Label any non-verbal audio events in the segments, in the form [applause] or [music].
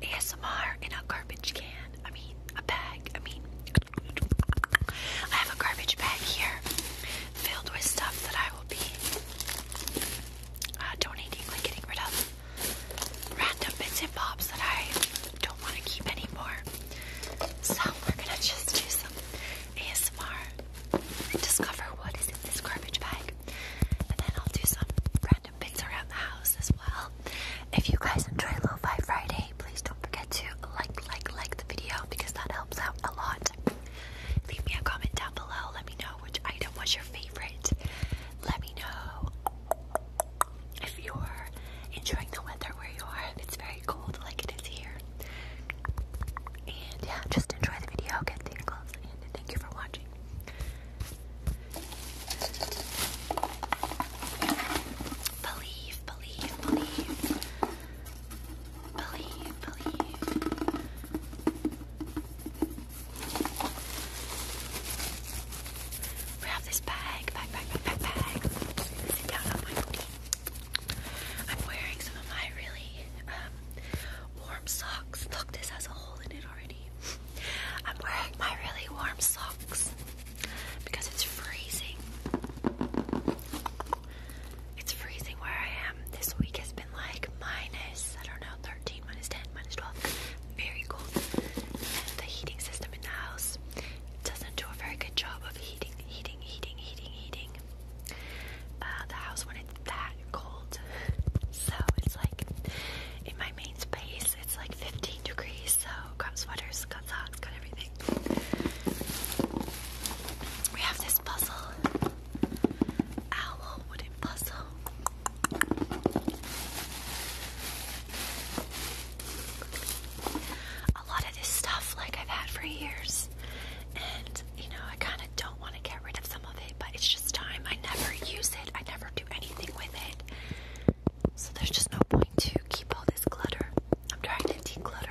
ASMR in a garbage can. I mean, a bag. I mean, I have a garbage bag here filled with stuff that I will be uh, donating, like getting rid of random bits and bobs that I don't want to keep anymore. So we're gonna just do some ASMR discover what is in this garbage bag. And then I'll do some random bits around the house as well. If you guys enjoy Lo-Fi Friday, please don't forget to like, like, like the video because that helps out a lot. Leave me a comment down below. Let me know which item was your favorite. Let me know if you're enjoying the weather where you are, if it's very cold like it is here. And yeah, just enjoy the video, get tingles, and thank you for watching. Believe, believe, believe. Believe, believe grab this bag, bag, bag, bag, bag, I'm wearing some of my really um, warm socks. Look, this has a hole in it already. I'm wearing my really warm socks because it's freezing. It's freezing where I am. This week has been like minus, I don't know, 13, minus 10, minus 12. Very cold. the heating system in the house it doesn't do a very good job of heating, heating, heating, heating, heating uh, the house when it's that cold. So it's like in my main space, it's like 15 degrees. So got sweaters, got socks, got everything. We have this puzzle, owl wooden puzzle. A lot of this stuff, like I've had for years, and you know, I kind of don't want to get rid of some of it, but it's just time. I never use it, I never do anything with it, so there's just no point to keep all this clutter. I'm trying to declutter.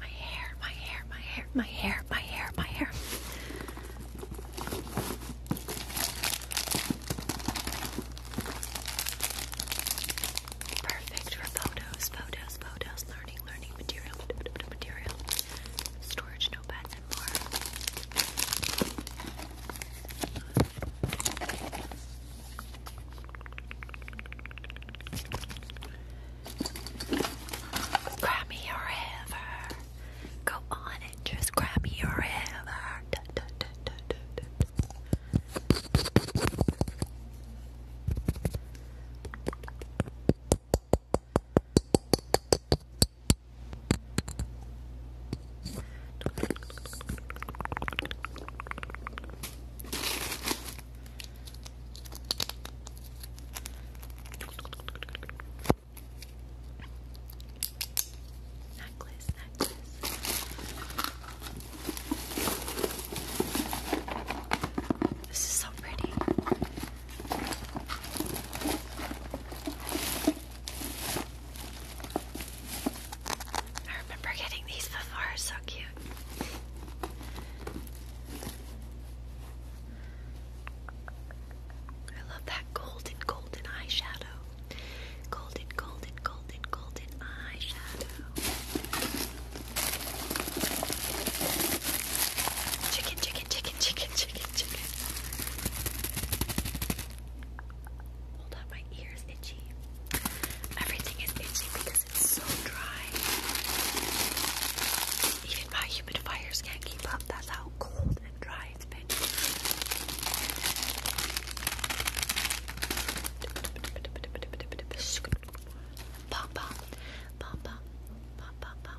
My hair, my hair, my hair, my hair, my hair, my hair. Perfect for photos, photos, photos, learning, learning material, material, storage notepad, Grab me your ever. Go on and just grab me your Necklace, necklace. This is so pretty. I remember getting these before, so cute. I love that golden, golden eyeshadow. Golden, golden, golden, golden eyeshadow. Chicken, chicken, chicken, chicken, chicken, chicken. Hold on, my ear's itchy. Everything is itchy it's so dry. Even my humidifiers can't keep up. That's how cold and dry it's been. pom pom, pom pom pom. pom.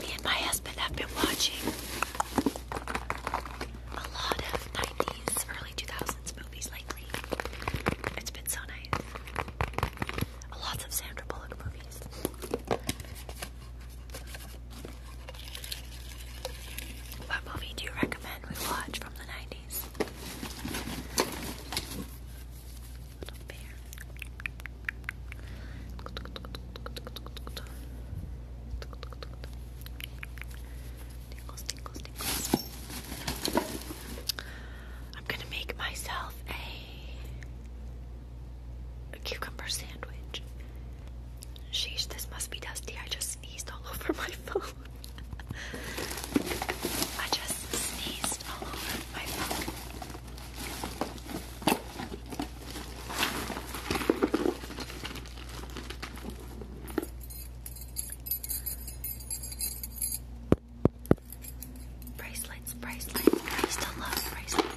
Me and my husband have been watching a lot of 90s, early 2000s movies lately. It's been so nice. Lots of Sandra Bullock movies. What movie do you recommend we watch from the 90s? I'm gonna make myself a, a cucumber sandwich. Sheesh, this must be dusty. I just sneezed all [laughs] over my phone. I just sneezed all over my phone. Bracelets, bracelets. I still love bracelets.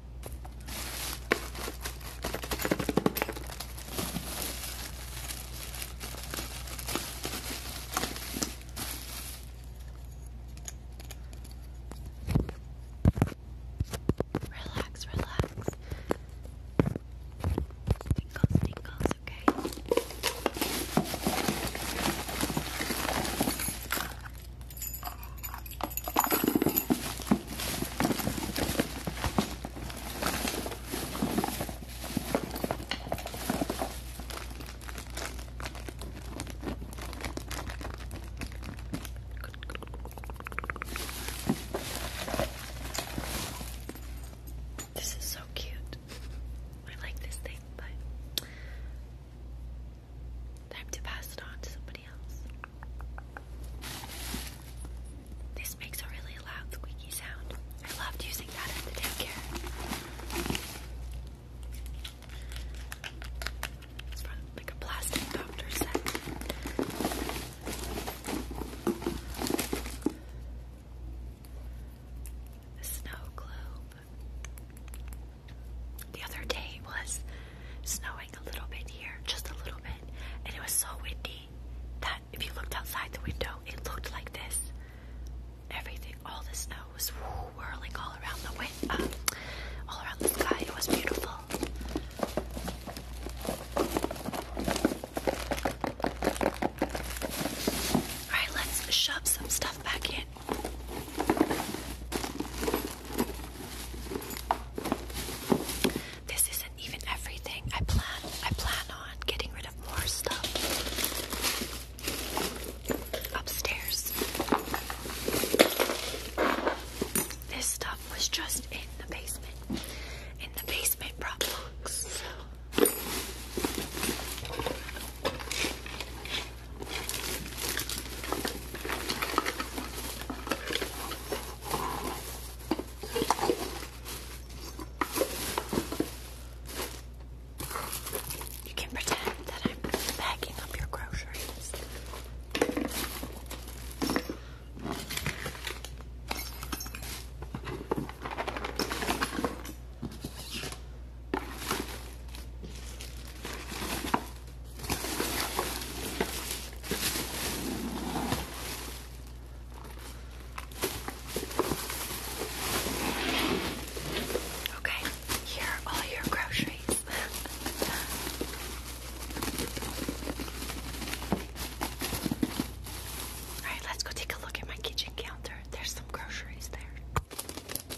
Relax, relax. Tinkles, tinkles, okay. This is so cute. I like this thing, but Time to pass it on to somebody else. This makes a really loud squeaky sound. I loved using that at daycare. like a plastic doctor set. A snow globe the other day was snowing a little bit here, just a little bit, and it was so windy that if you looked outside the window, it looked like this. Everything, all the snow was whirling all around the wind, um, all around the sky. It was beautiful. Alright, let's shove some stuff back in. This isn't even everything. I plan I plan on getting rid of more stuff upstairs. This stuff was just in the basement. In the basement prop you can pretend that I'm packing up your groceries. Okay, here are all your groceries. [laughs] Alright, let's go take a look at my kitchen counter. There's some groceries there.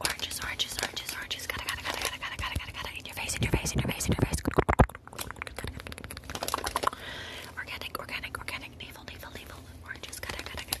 Oranges, oranges, oranges, oranges. Gotta, gotta, gotta, gotta, gotta, gotta, gotta, In your face, in your face, in your face, in your face. Organic, organic, organic. Navel, navel, navel. Oranges, Gotta, gotta, gotta,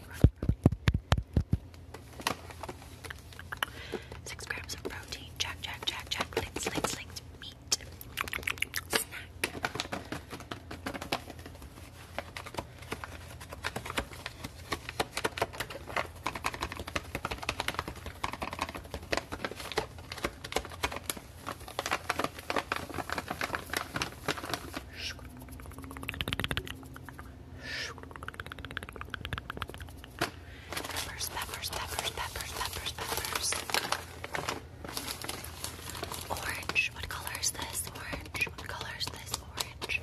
brownie, brownie. Six grams of protein. Jack, jack, jack, jack. Links, links, links. Meat. Snack. Squish, Peppers, peppers, peppers, peppers, peppers, peppers. Orange. What color is this? Orange. What color is this? Orange.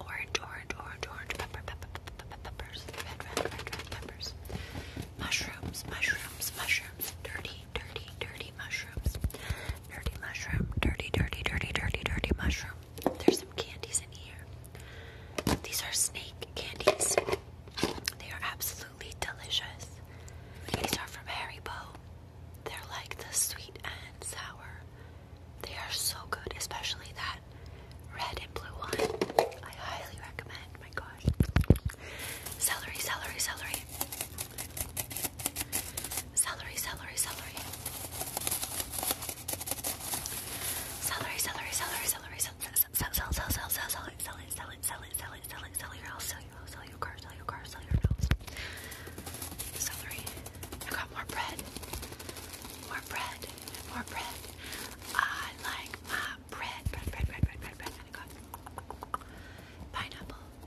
Orange, orange, orange, orange. Pepper, pepper, pepper, peppers. Red, red, red, red peppers. Mushrooms, mushrooms, mushrooms. Dirty, dirty, dirty, dirty mushrooms. Dirty mushroom. Dirty, dirty, dirty, dirty, dirty mushroom. There's some candies in here. These are snake candies. They are absolutely delicious. These are from Harry Haribo. They're like the sweet and sour. They are so good, especially that red and blue one. I highly recommend. my gosh. Celery, celery, celery. Celery, celery, celery. Celery, celery, celery, celery, celery, celery, celery, celery, celery, celery, celery, celery, celery, I'll sell you, I'll sell your car, sell your car, sell your nose. Celery. I got more bread. More bread. More bread. I like my bread. Bread, bread, bread, bread, bread, bread. And I got pineapple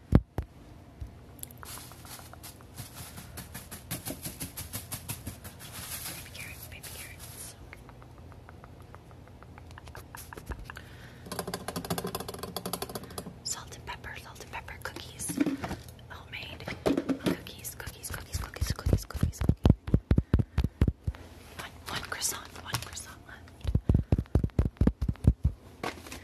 Baby carrots, baby carrots. Salt and pepper, salt and pepper cookies. Homemade cookies, cookies, cookies, cookies, cookies, cookies. One, one croissant, one croissant left.